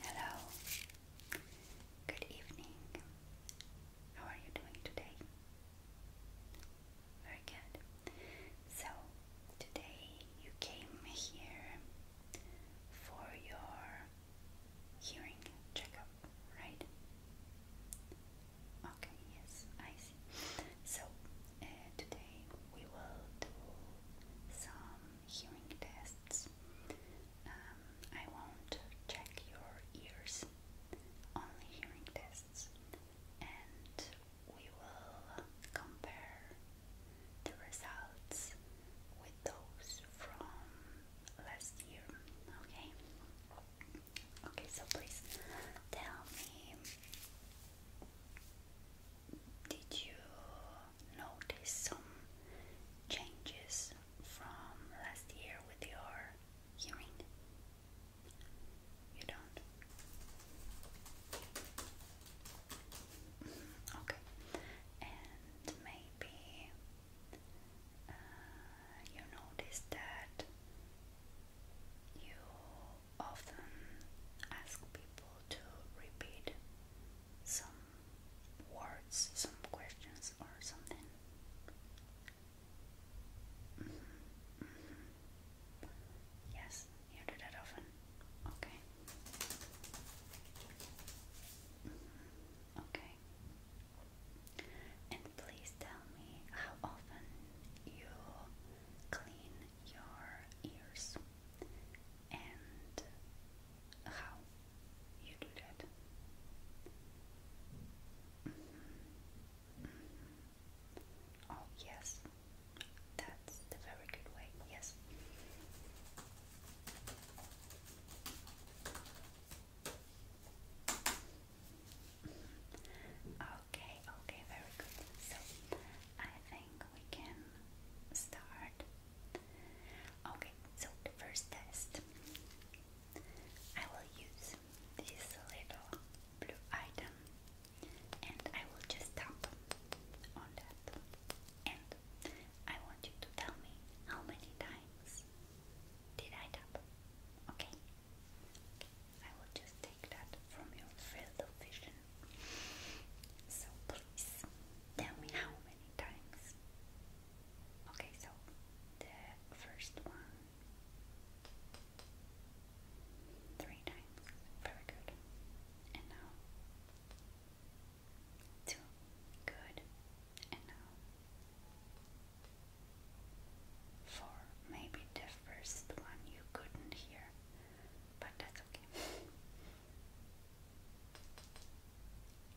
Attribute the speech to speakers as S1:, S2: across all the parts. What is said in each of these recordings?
S1: Hello. Good evening. How are you doing today? Very good. So, today you came here for your hearing checkup, right? Okay, yes, I see. So, uh, today we will do some hearing tests. Um, I won't check your ears, only hearing tests, and we will compare the results with those from last year. Okay. Okay, so please tell me did you notice some changes from last year with your hearing? You don't? Mm-hmm, okay. And maybe uh, you notice that you often ask people possible to repeat some words, some questions, or something. Mm-hmm. Mm-hmm. Yes, you do that often. Okay. Mm-hmm. Okay. And please tell me how often you clean your ears and how you do that. Mm-hmm. Oh, yes, that's the very good way, yes. Okay, okay, very good. So I think we can start. Okay, so the first test I will use this little blue item and I will just tap on that. And I want you to tell me how many times did I tap? Okay? I will just take that from your field vision. So please tell me how many times. Okay, so the first one three times. Very good. And now two. Good. And now four. Maybe the first one you couldn't hear but that's okay.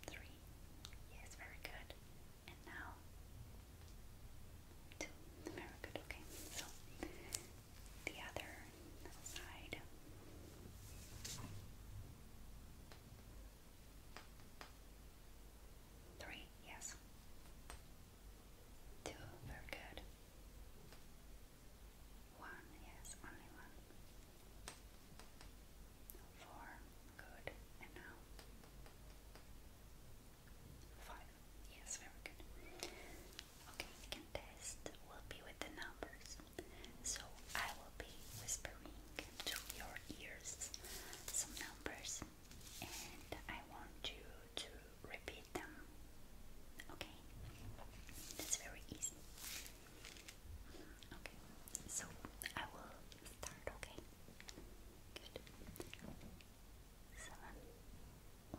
S1: Three. Yes, very good. And now Very good. Okay. So the other side. Three. Yes. Two, very good. One, yes, only one. Four, good. And now five, yes, very good. Okay, the contest will be with the numbers. So I will be whispering to your ears some numbers and I want you to repeat read them. Okay, that's very easy. Okay, so I will start. Okay, good. Seven,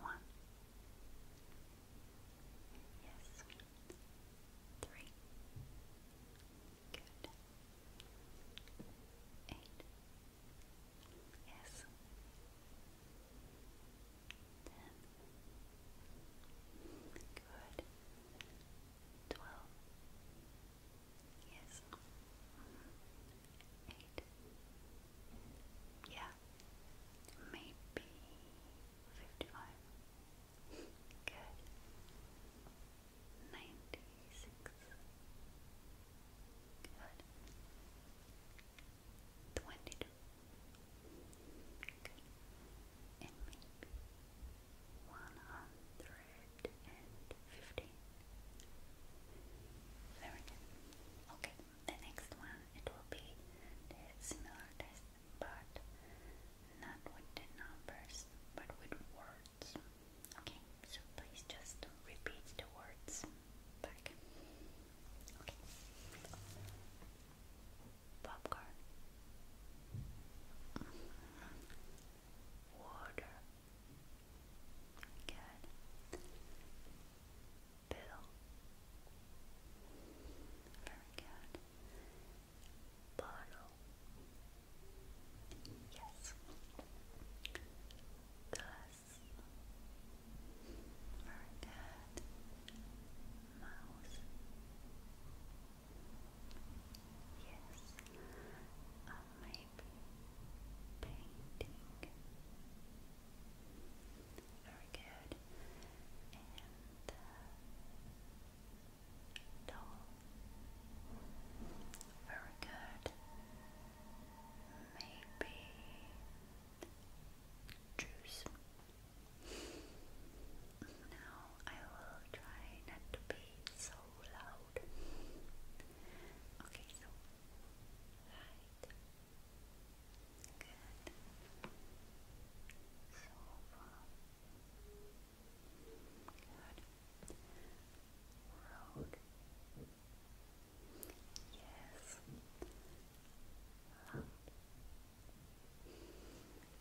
S1: one, yes, three, good, eight. Yes. Ten. Good. Twelve. Yes. Eight. Yeah. Maybe fifty-five. Good. Ninety-six. Good twenty-two, and maybe one hundred and fifteen. Very good. Okay, the next one it will be similar test, but not with the numbers, but with words. Okay. So please just repeat the words back. Okay. Popcorn. Water. Good. Bill. Very good. Bottle. Yes. Glass. Very good. Mouse. Yes. Or painting. Very good. And uh, doll. Very good maybe juice. Now I will try not to be so loud. Okay, so right. Good. So far. Good. Yes. Loud.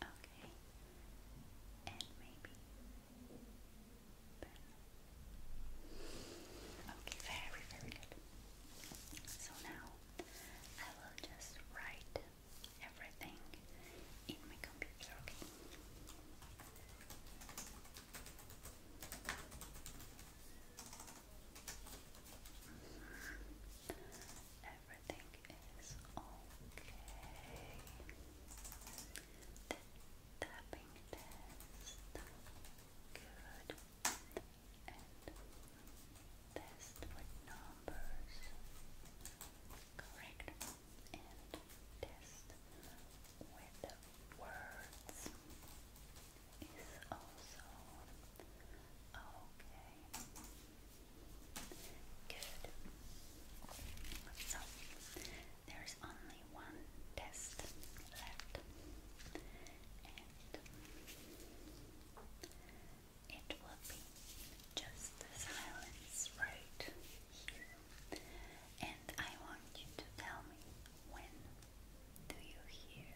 S1: Okay. And maybe Okay, very, very good. So now I will just write everything in my computer, Okay. Everything is okay. The test good and test with numbers correct and test with words is also okay. Good. So there is only one test left, and it will be just the silence right here and I want you to tell me when do you hear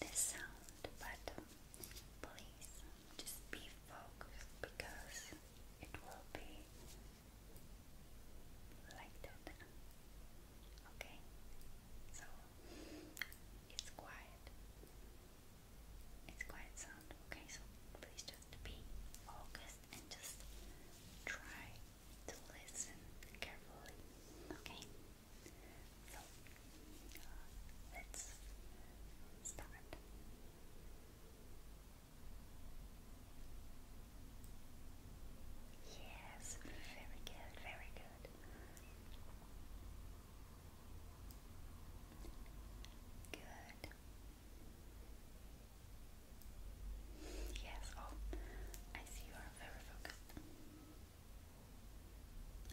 S1: the sound button. Please just be focused because it will be like that. Okay? So it's quiet. It's quiet sound. Okay, so please just be focused and just try to listen carefully. Okay? So, uh, let's start. Yes, very good, very good. Good. Yes, oh, I see you are very focused.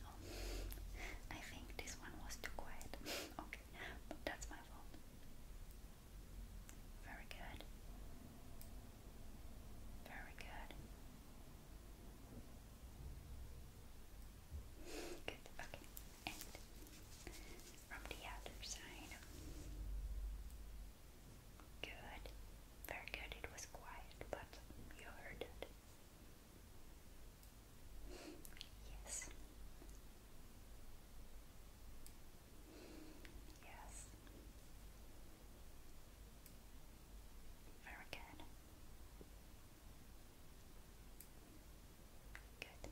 S1: Oh, I think this one was too quiet. okay, that's my fault. Very good. Very good. Good, okay from the other side. Good. Very good. It was quiet, but you heard it. Yes. Yes. Very good. Good.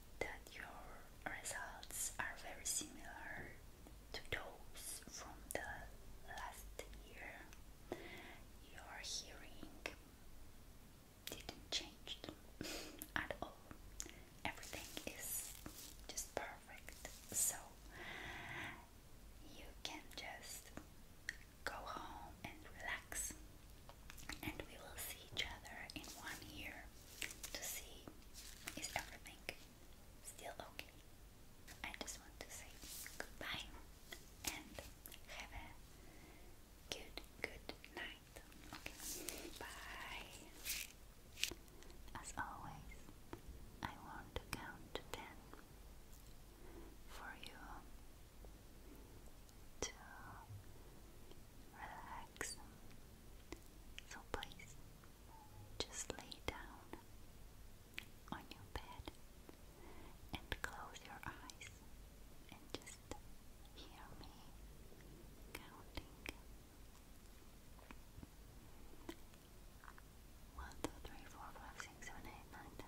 S1: that your results are very similar to those from the last year. Your hearing didn't change at all. Everything is just perfect. So you can just go home and relax and we will see each other in one year to see is everything still okay. I just want to say goodbye and have a good, good night. Okay, bye. As always, I want to count to ten for you to relax. So please just lay down on your bed and close your eyes and just hear me counting. One, two, three, four, five, six, seven, eight, nine, ten.